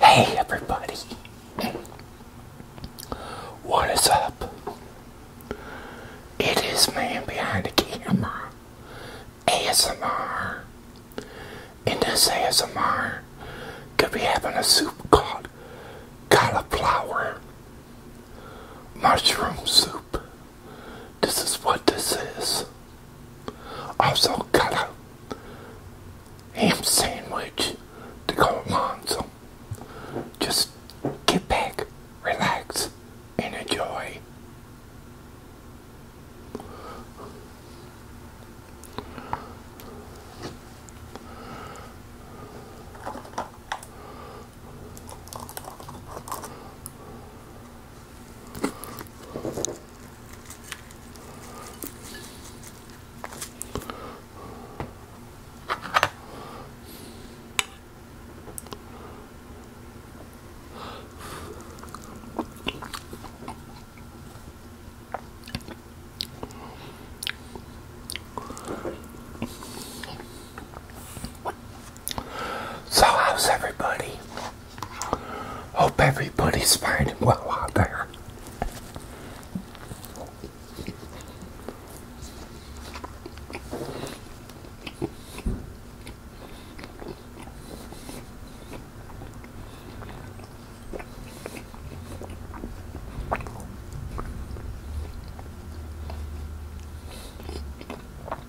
Hey everybody, what is up? It is man behind the camera, ASMR. In this ASMR, could be having a soup called cauliflower mushroom soup. This is what this is. Also got a ham sandwich to go along, so just get back, relax, and enjoy. So, how's everybody? Hope everybody's finding well out there.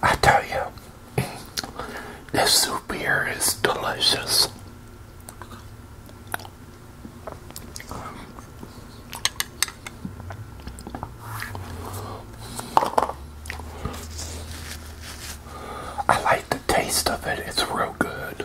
I tell you, this soup here is delicious. I like the taste of it. It's real good.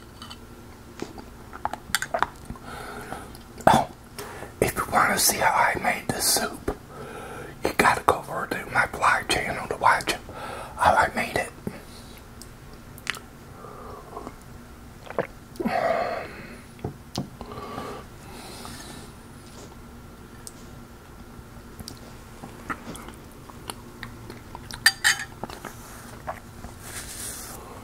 Oh, if you want to see how I made this soup, you gotta go over to my blog channel to watch how I made it.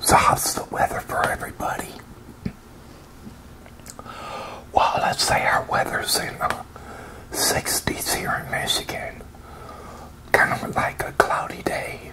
So how's the weather for everybody? Well, let's say our weather's in the 60s here in Michigan. Kind of like a cloudy day.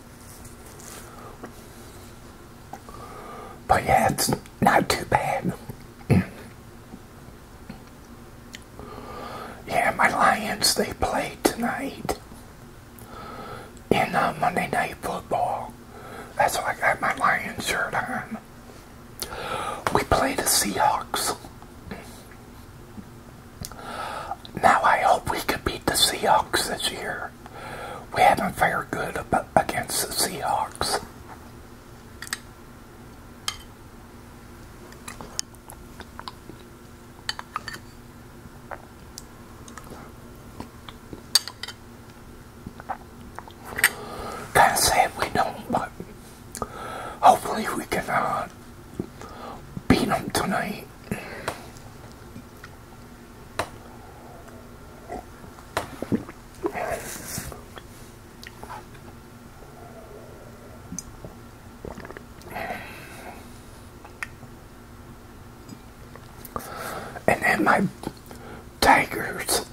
But yeah, it's not too bad. yeah, my Lions, they played tonight in uh, Monday Night Football. That's why I got my Lions shirt on. We played the Seahawks. Now I hope we could beat the Seahawks this year. We haven't fared good against the Seahawks. Kind of sad we don't, but hopefully we can uh, beat them tonight. And then my Tigers,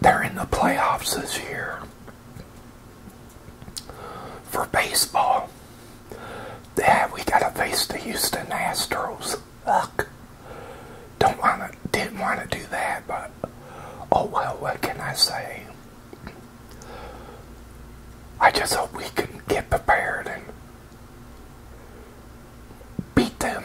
they're in the playoffs this year for baseball go. Yeah, we gotta face the Houston Astros. Fuck. Don't wanna didn't wanna do that, but oh well what can I say? I just hope we can get prepared and beat them.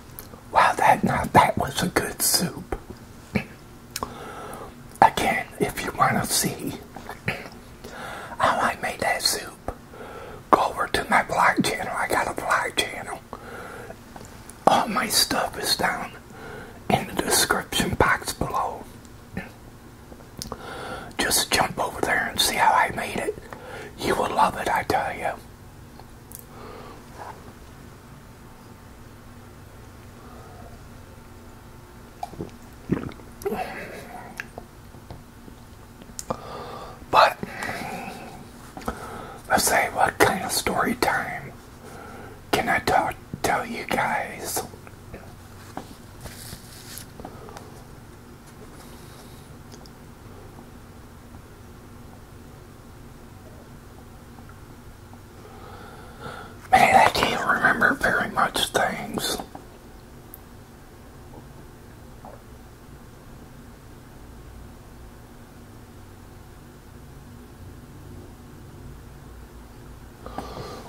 Wow, that now that was a good soup. Again, if you want to see how I made that soup, go over to my blog channel. I got a blog channel. All my stuff is down in the description box below. Just jump over there and see how I made it. You will love it, I tell you. But let's say what kind of story time can I talk, tell you guys? Man, I can't remember very much things.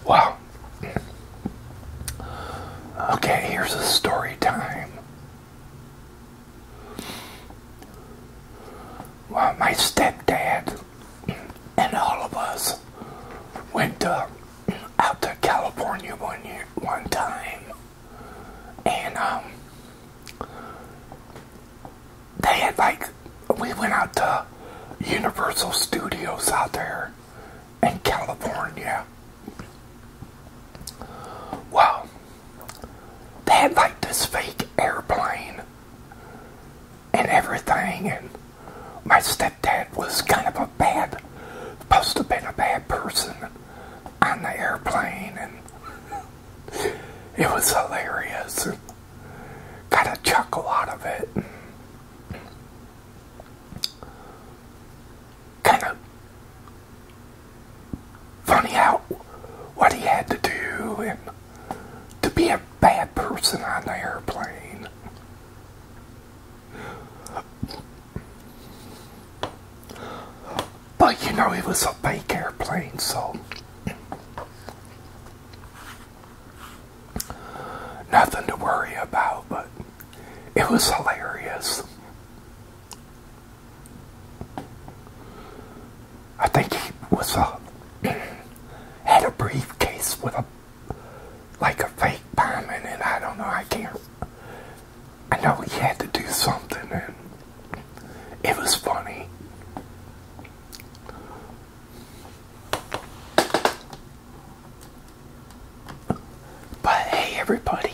Wow. Okay, here's a story time. Well, my stepdad and all of us went uh, out to California one year, one time, and um, they had like we went out to Universal Studios out there in California. Well, they had like this fake airplane and everything, and my stepdad was kind of a bad, supposed to have been a bad person on the airplane, and it was hilarious. Got a chuckle out of it kind of funny out what he had to do and to be a bad person on the airplane. But you know, it was a fake airplane, so nothing to worry about. But it was hilarious. I think he was uh, a had a briefcase with a like a fake bomb and I don't know. I can't. I know he had to do something, and it was funny. But hey, everybody,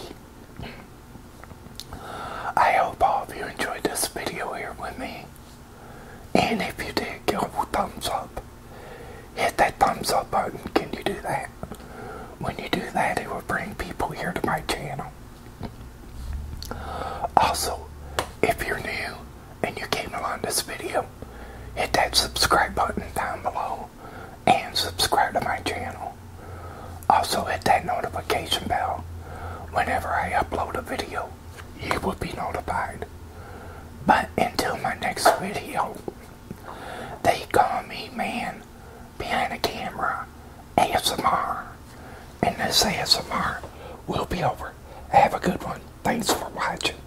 I hope all of you enjoyed this video here with me. And if you did, give a thumbs up. Hit that thumbs up button. Can you do that? When you do that, it will bring people here to my channel. Also, if you're new and you came along this video, hit that subscribe button down below and subscribe to my channel. Also hit that notification bell. Whenever I upload a video, you will be notified. But until my next video, they call me man behind the camera ASMR. And this ASMR will be over. Have a good one. Thanks for watching.